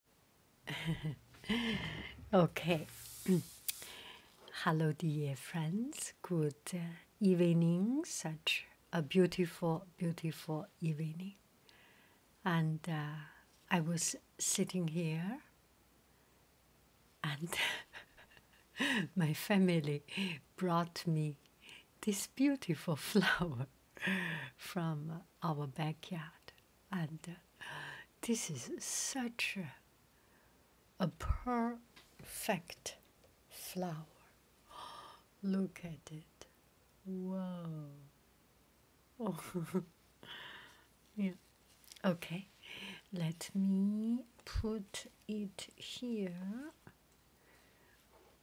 okay. Hello, dear friends. Good uh, evening. Such a beautiful, beautiful evening. And uh, I was sitting here, and my family brought me this beautiful flower from our backyard and uh, this is such a, perfect flower. Look at it. Wow. yeah. Okay. Let me put it here.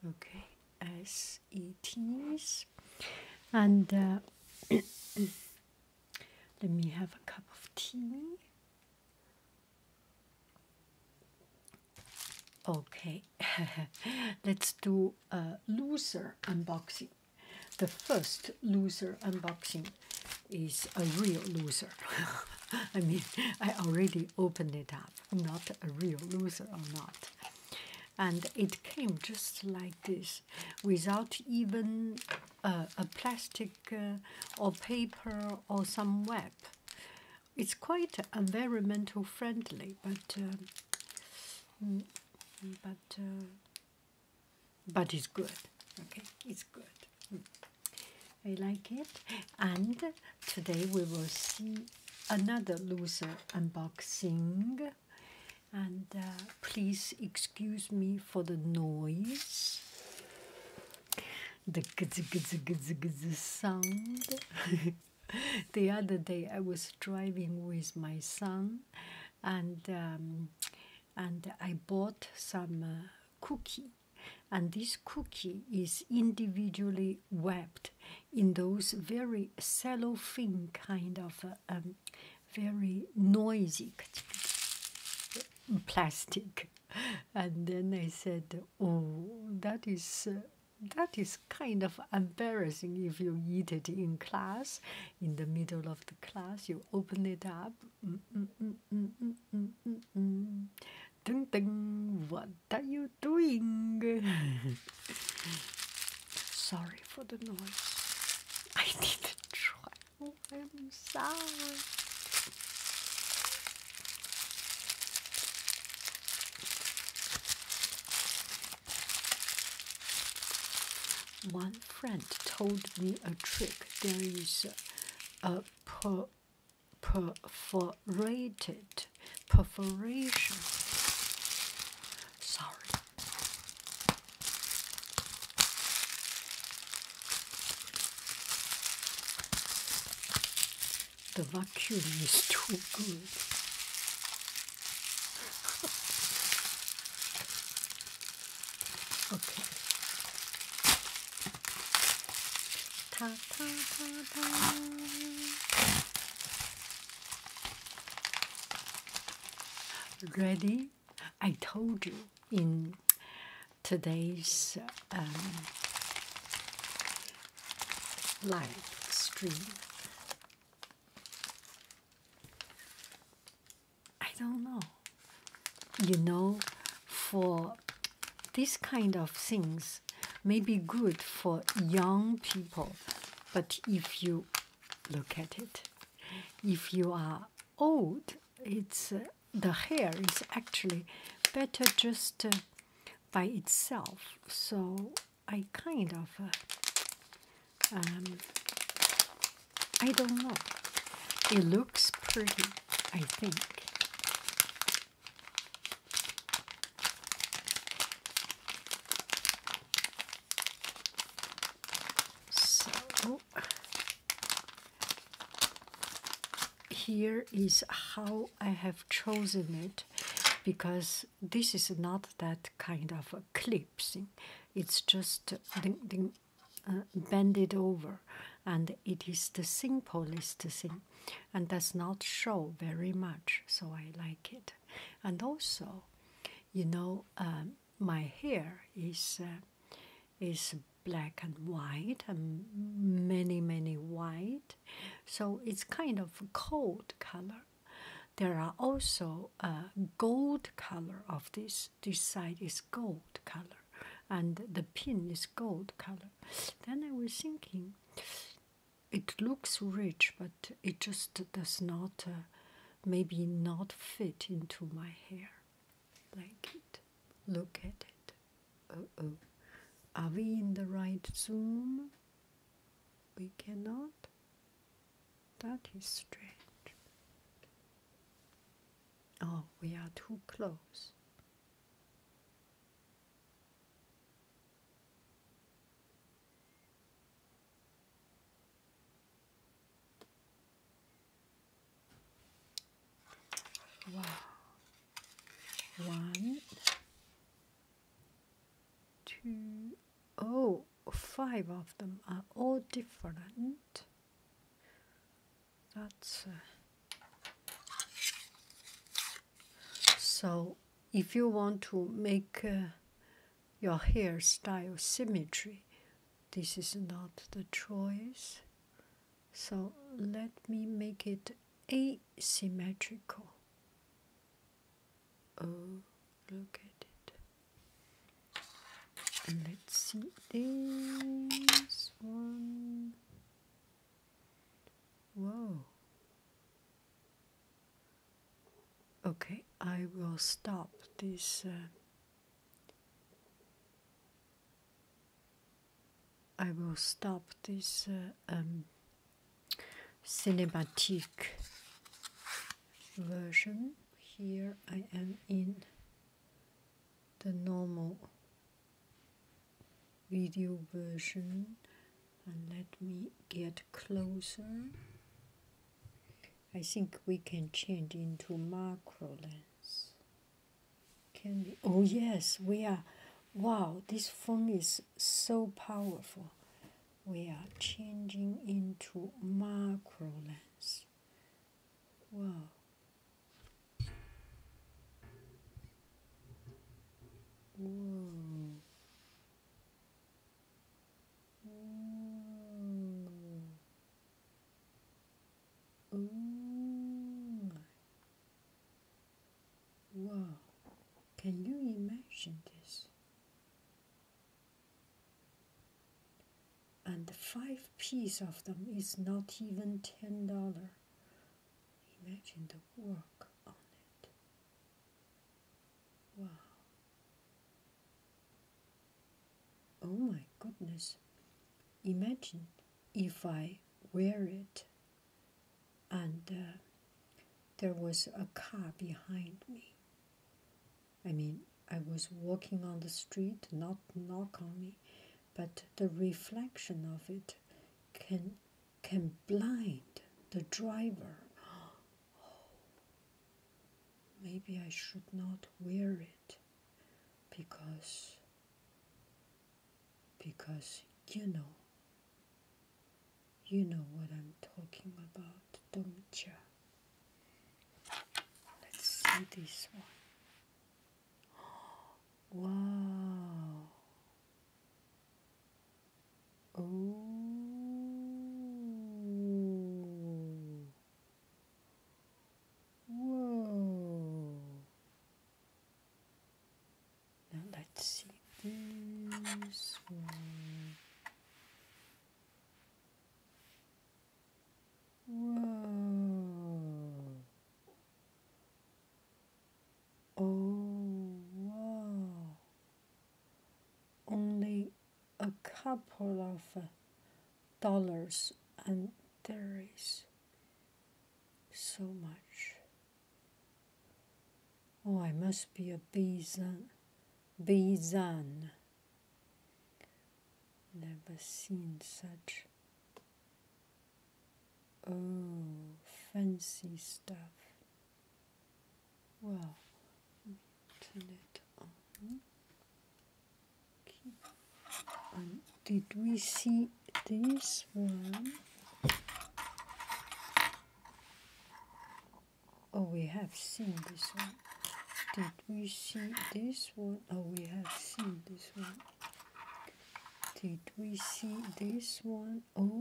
Okay, as SETs. And uh, let me have a cup of tea. Okay, let's do a loser unboxing. The first loser unboxing is a real loser. I mean, I already opened it up. I'm not a real loser or not and it came just like this without even a plastic uh, or paper or some web. It's quite environmental friendly, but uh, mm, but uh, but it's good. Okay, it's good. Mm. I like it. And today we will see another loser unboxing and uh, please excuse me for the noise the gizz, gizz, gizz, gizz sound the other day i was driving with my son and um, and i bought some uh, cookie and this cookie is individually wrapped in those very cellophane kind of um, very noisy plastic. And then I said, "Oh, that is." that is kind of embarrassing if you eat it in class, in the middle of the class, you open it up. Mm, mm, mm, ding ding, what are you doing? Sorry for the noise. I need to try. Oh, I'm sorry. One friend told me a trick. There is a, perforated perforation. Sorry, the vacuum is too good. okay. Ta ta ta ta. Ready? I told you in today's um, live stream. I don't know. You know, for this kind of things may be good for young people, but if you Look at it. If you are old, it's uh, the hair is actually better just uh, by itself. So I kind of uh, um, I don't know. It looks pretty, I think. So here is how I have chosen it because this is not that kind of a It's just uh, ding, it over and it is the simplest thing and does not show very much so I like it. And also, you know, um, my hair is uh, is black and white, and many many white, so it's kind of cold color. There are also uh, gold color of this. This side is gold color, and the pin is gold color. Then I was thinking, it looks rich, but it just does not, uh, maybe not fit into my hair. Like it. Look at it. Uh oh. Are we in the right zoom? We cannot. That is strange. Oh, we are too close. Wow. One, two, oh, five of them are all different. That's uh, so. If you want to make uh, your hairstyle symmetry. This is not the choice. So let me make it asymmetrical. Oh, look at it. let's see this one. Whoa. Okay, I will stop this. Uh, I will stop this uh, um, cinematic version. Here I am in the normal video version let me get closer. I think we can change into macro lens. Can we? Oh yes, we are. Wow, this phone is so powerful. We are changing into macro lens. Wow. Whoa. Ooh. Mm. Ooh. Wow, can you imagine this? And the five piece of them is not even ten dollar. Imagine the work on it. Wow. Oh my goodness. Imagine if I wear it and uh, there was a car behind me. I mean, I was walking on the street, not knock on me, but the reflection of it can can blind the driver maybe I should not wear it because because you know you know what I'm talking about, don't you? Let's see this one. Wow. Oh. Whoa. Now let's see this one. Whoa. Oh, wow only a couple of dollars, and there is so much. Oh, I must be a Bizan. Bizan. Never seen such. Oh, fancy stuff. Well, turn it on. did we see this one? Oh, we have seen this one. Did we see this one? Oh, we have seen this one. Did we see this one? Oh,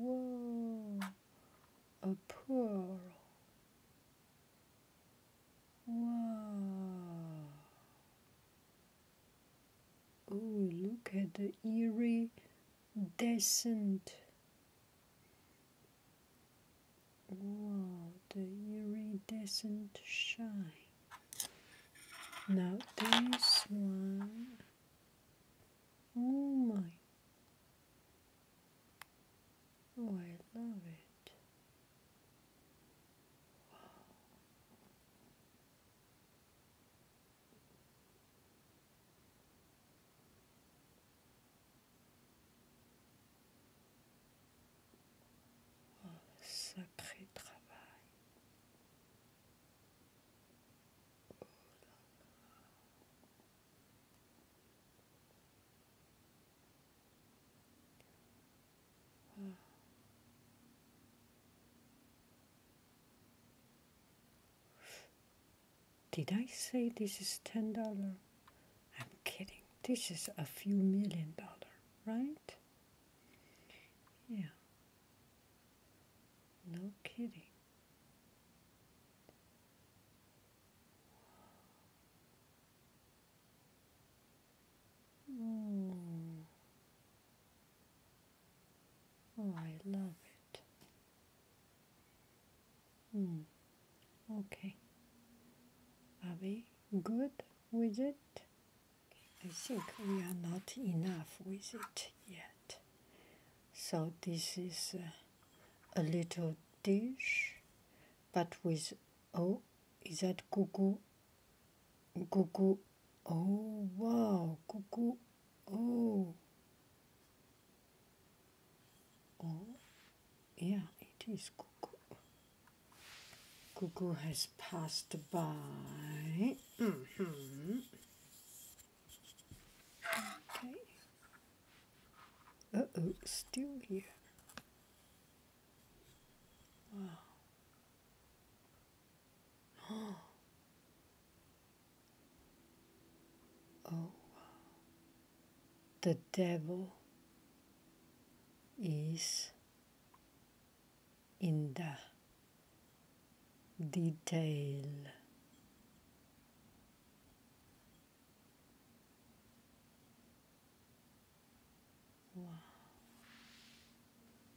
whoa a pearl. Wow. Oh, look at the iridescent. Wow, the iridescent shine. Now this one. Oh my Well, love it. Wow. Oh, sacré travail. Did I say this is ten dollar? I'm kidding. This is a few million dollar, right? Yeah. No kidding. Hmm. Oh, I love it. Mm. Okay. Are we good with it? I think we are not enough with it yet. So this is a little dish, but with oh, is that gugu? Gugu. Oh wow, gugu. Oh. Oh, yeah, it is gugu. Gugu has passed by. -hmm. Okay. Uh oh, still here. Wow. Oh. Oh. The devil is in the detail. Wow.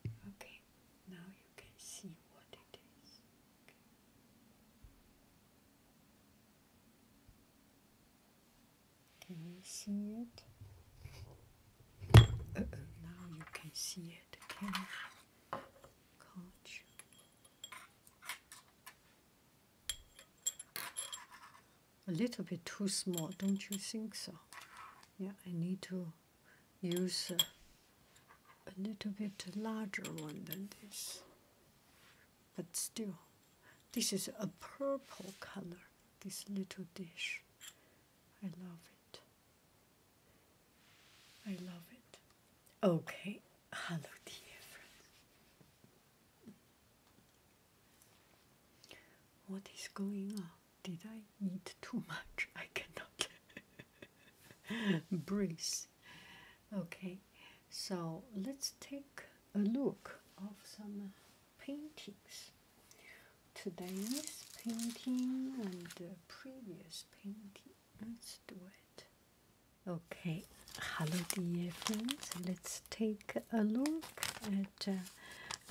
Okay, now you can see what it is. Can you see it? Now you can see it. A little bit too small, don't you think so? Yeah, I need to use a little bit larger one than this. But still, this is a purple color, this little dish. I love it. I love it. Okay, hello, dear friends. What is going on? Did I eat too much? I cannot breathe. Okay, so let's take a look of some paintings. Today's painting and previous painting. Let's do it. Okay, hello dear friends. Let's take a look at uh,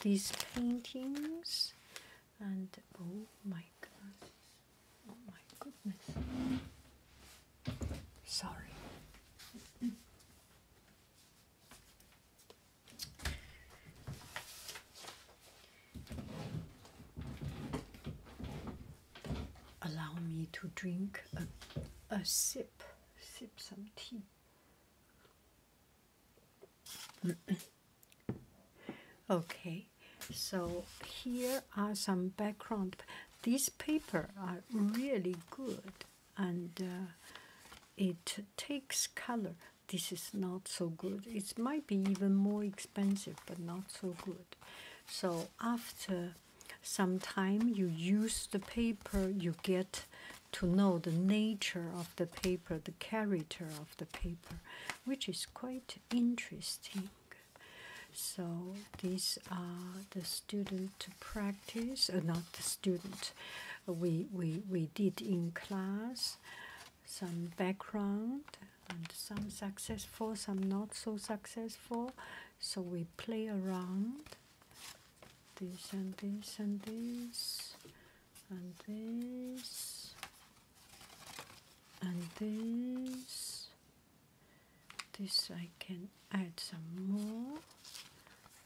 these paintings. And oh my god, oh my goodness. Sorry. Allow me to drink a, a sip, sip some tea. okay, so here are some background. These paper are really good and uh, it takes color. This is not so good. It might be even more expensive, but not so good. So after some time you use the paper, you get to know the nature of the paper, the character of the paper, which is quite interesting. So these are the student practice, uh, not the student, we we we did in class some background and some successful, some not so successful. So we play around this and this and this and this and this. This I can add some more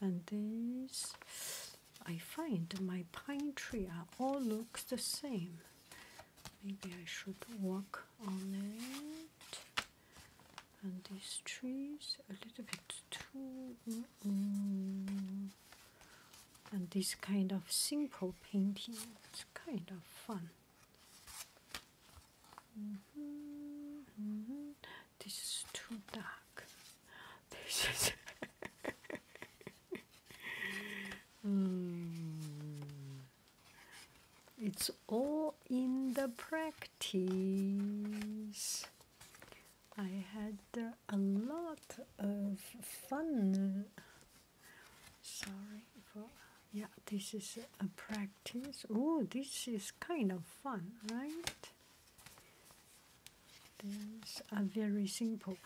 and this. I find my pine tree are all looks the same. Maybe I should work on it. And these trees a little bit too. And this kind of simple painting its kind of fun. Mm-hmm, mm-hmm. This is too dark. This is. Mm. It's all in the practice. I had a lot of fun. Sorry for yeah, this is a practice. Oh, this is kind of fun, right? These are very simple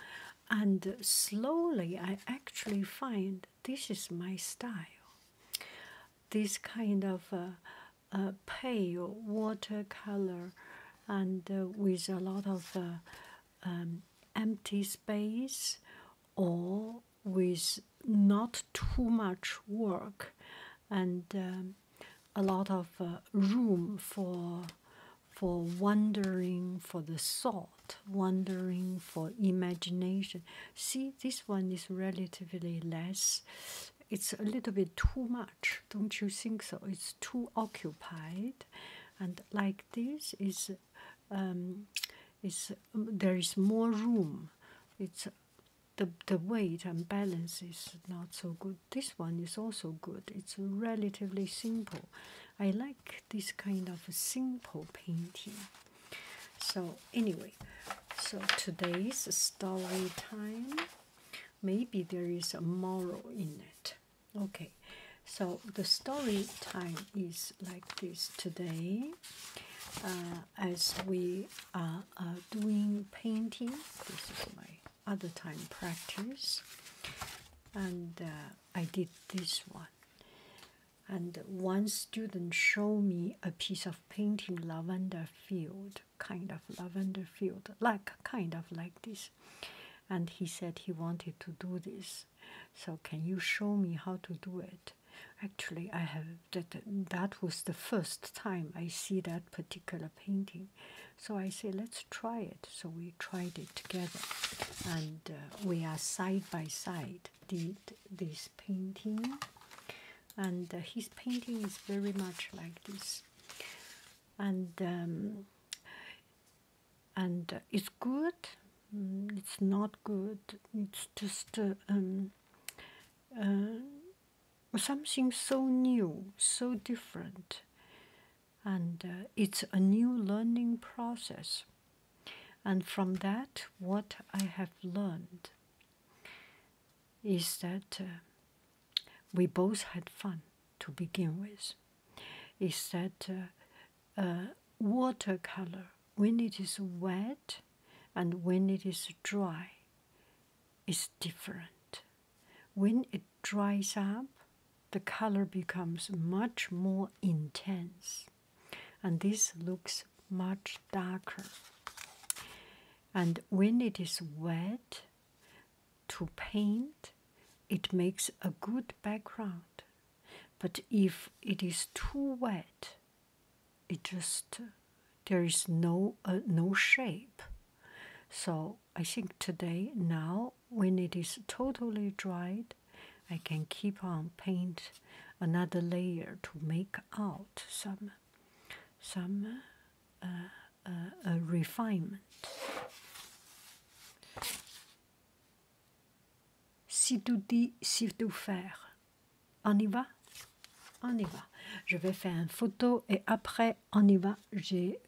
and slowly I actually find this is my style. This kind of uh, uh, pale watercolor and uh, with a lot of um, empty space or with not too much work and um, a lot of room for for wandering for the soul wondering for imagination. See, this one is relatively less. It's a little bit too much, don't you think so? It's too occupied, and like this is, um, is um, there is more room. It's the the weight and balance is not so good. This one is also good. It's relatively simple. I like this kind of simple painting. So, anyway, so today's story time, maybe there is a moral in it. Okay, so the story time is like this today. Uh, as we are uh, doing painting, this is my other time practice, and uh, I did this one. And one student showed me a piece of painting lavender field, kind of lavender field, like kind of like this. And he said he wanted to do this. So can you show me how to do it? Actually, I have that. That was the first time I see that particular painting. So I say, let's try it so we tried it together, and uh, we are side by side. Did this painting, and uh, his painting is very much like this, and um, and uh, it's good. Mm, it's not good. It's just um, something so new, so different and uh, it's a new learning process. And from that, what I have learned is that uh, we both had fun to begin with. Is that uh, uh watercolor, when it is wet and when it is dry, is different. When it dries up the color becomes much more intense and this looks much darker and when it is wet to paint it makes a good background but if it is too wet it just there is no uh, no shape so i think today now when it is totally dried, I can keep on paint another layer to make out some some uh, uh refinement. Si tout dit, si tout faire. On y va On y va. Je vais faire une photo et après, on y va. J'ai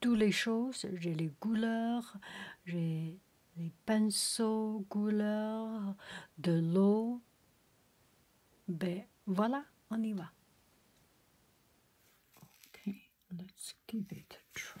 toutes les choses, j'ai les couleurs, j'ai les pinceaux, couleurs, de l'eau. Ben voilà, on y va. let's give it a try.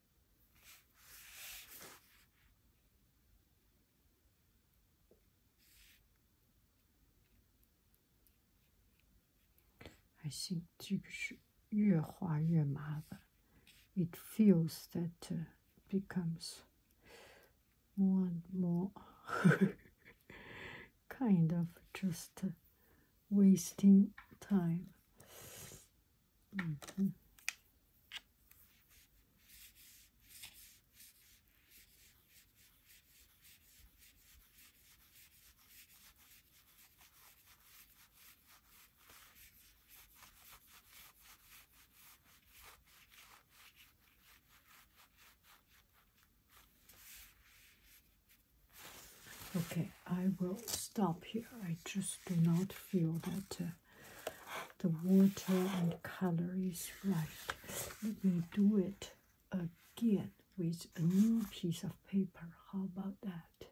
I think it feels that uh, becomes more and more kind of just uh, wasting time Okay, I will stop here. I just do not feel that uh, the water and color is right. Let me do it again with a new piece of paper. How about that?